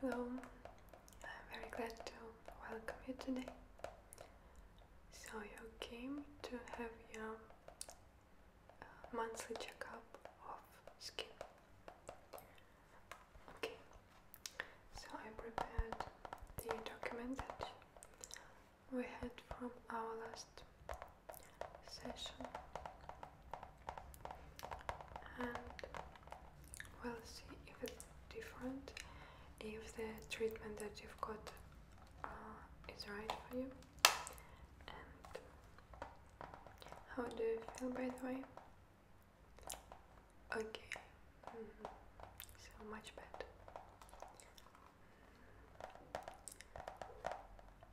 Hello, I'm very glad to welcome you today. So, you came to have your uh, monthly checkup of skin. Okay, so I prepared the document that we had from our last session and we'll see if it's different, if the treatment that you've got uh, is right for you. And how do you feel by the way? Okay, mm-hmm. so much better.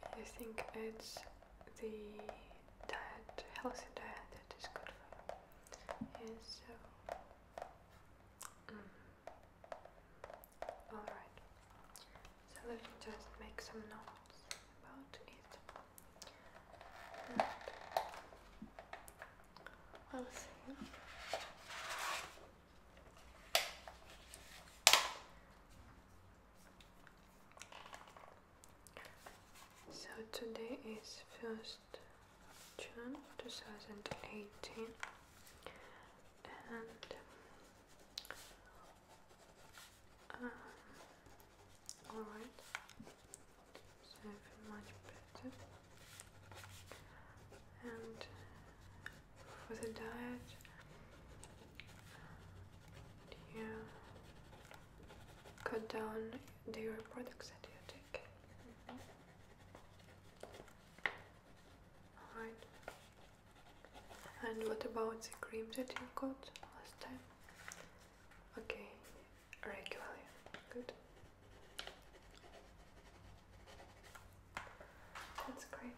I think it's the diet, healthy diet that is good for you. so. Mm. Alright. So let me just make some notes about it. And so today is 1st June 2018 and um, alright, so much better and for the diet you cut down the products that you take? Alright. And what about the cream that you got last time? Okay, regularly. Good. That's great.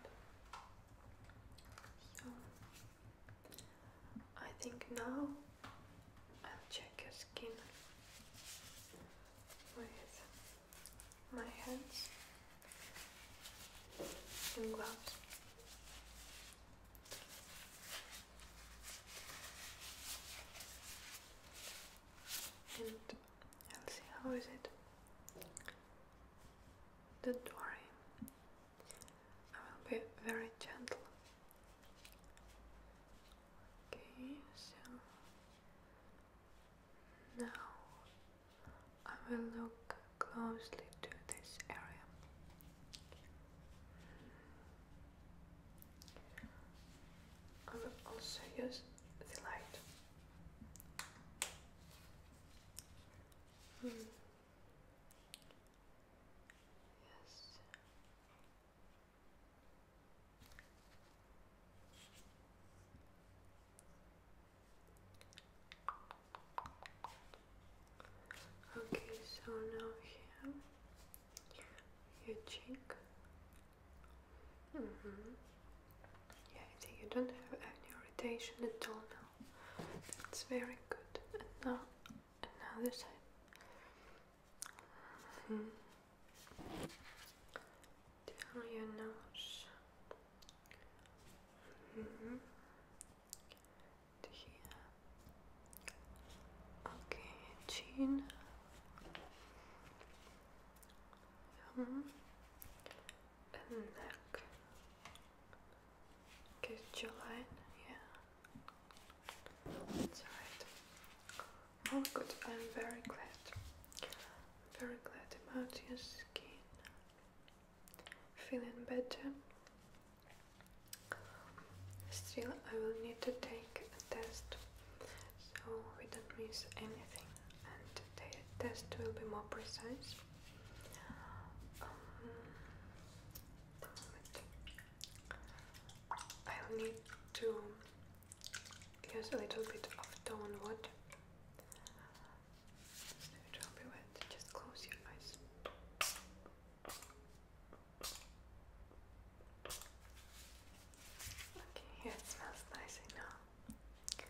I think now I'll check your skin with my hands and gloves. And I'll see how is it. The door. I will be very gentle. Okay, so now I will look closely to this area. I will also use the light. Hmm. Yes. Okay, so now here, your cheek. Mm -hmm. Yeah, I think you don't have any irritation at all now. That's very good. And now another side. Hmm. Down your nose. Hmm. Here. Okay, chin. And neck. Good July, yeah. That's right. Oh good, I'm very glad. Very glad about your skin. Feeling better. Still I will need to take a test so we don't miss anything the test will be more precise. Um, I'll need to use a little bit of tone It will be wet. Just close your eyes. Okay, it smells nice enough. And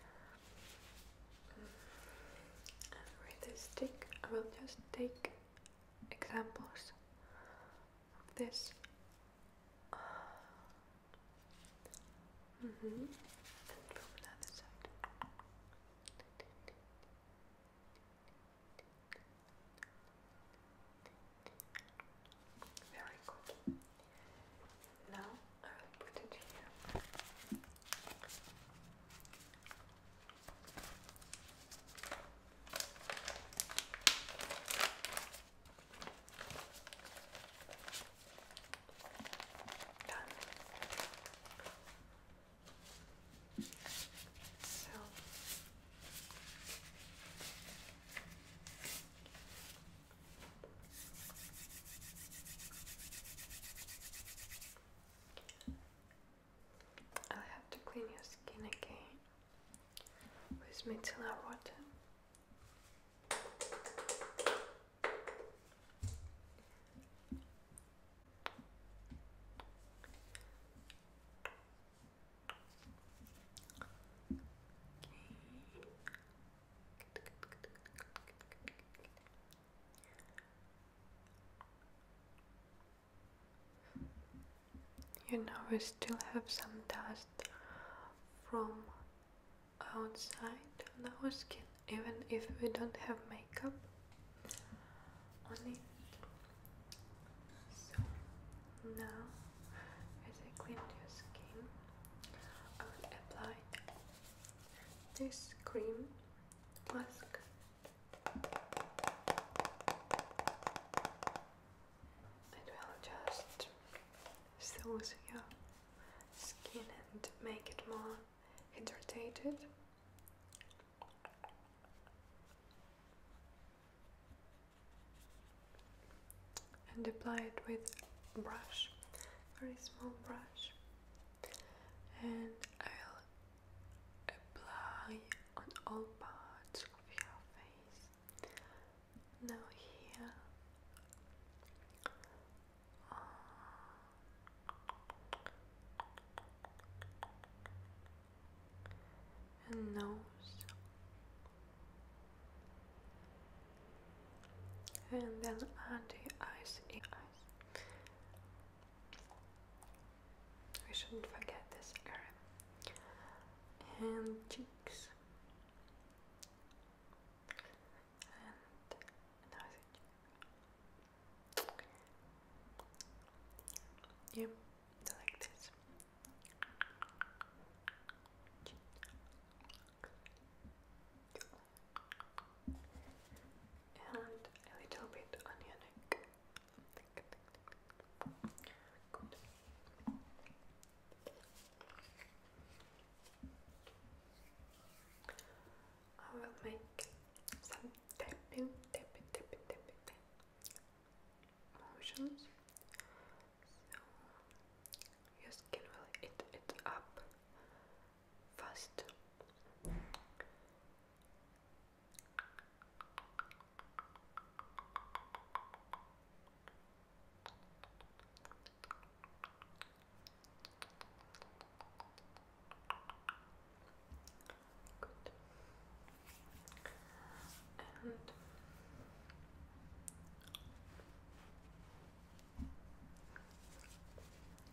I will just take examples of this. Mm -hmm. Very good. Now I will put it here. Done. So i have to clean your skin again with micellar water. You know, we still have some dust from outside on our skin, even if we don't have makeup on it. So now, as I cleaned your skin, I will apply this cream mask. It will just soothe your skin and make it more hydrated and apply it with brush, very small brush, and I'll apply on all parts of your face. Now here. Uh, and nose and then add the in ice. We shouldn't forget this area. And cheeks. Yep, like this and a little bit on I will make some tapping, tapping, tapping, tapping, motions your skin will eat it up fast. Good. And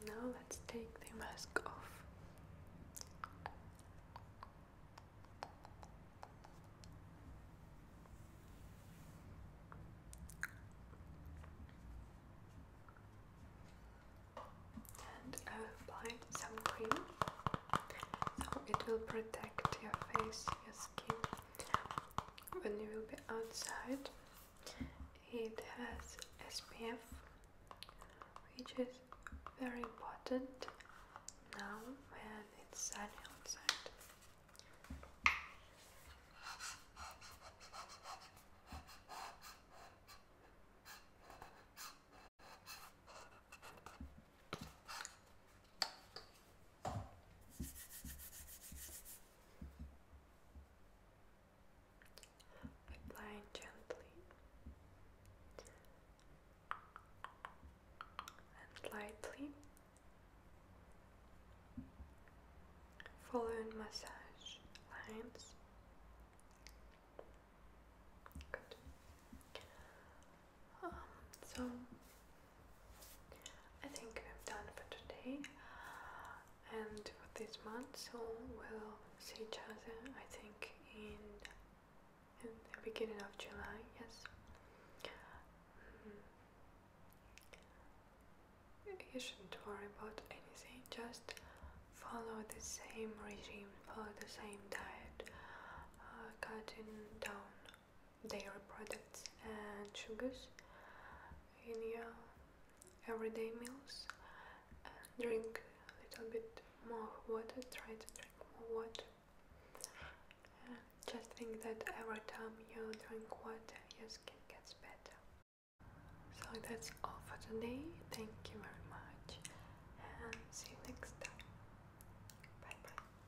now let's take the mask off. And apply some cream so it will protect your face, your skin when you will be outside it has SPF which is very important now when it's sunny outside Apply gently and lightly, following massage lines. Good. Um, so I think I'm done for today and for this month. So we'll see each other. I think in in the beginning of July. Yes. Mm-hmm. You shouldn't worry about anything. Just follow the same regime, follow the same diet, uh, cutting down dairy products and sugars in your everyday meals. drink a little bit more water, try to drink more water. just think that every time you drink water, your skin gets better. So that's all for today. Thank you very much and see you next time. Bye bye.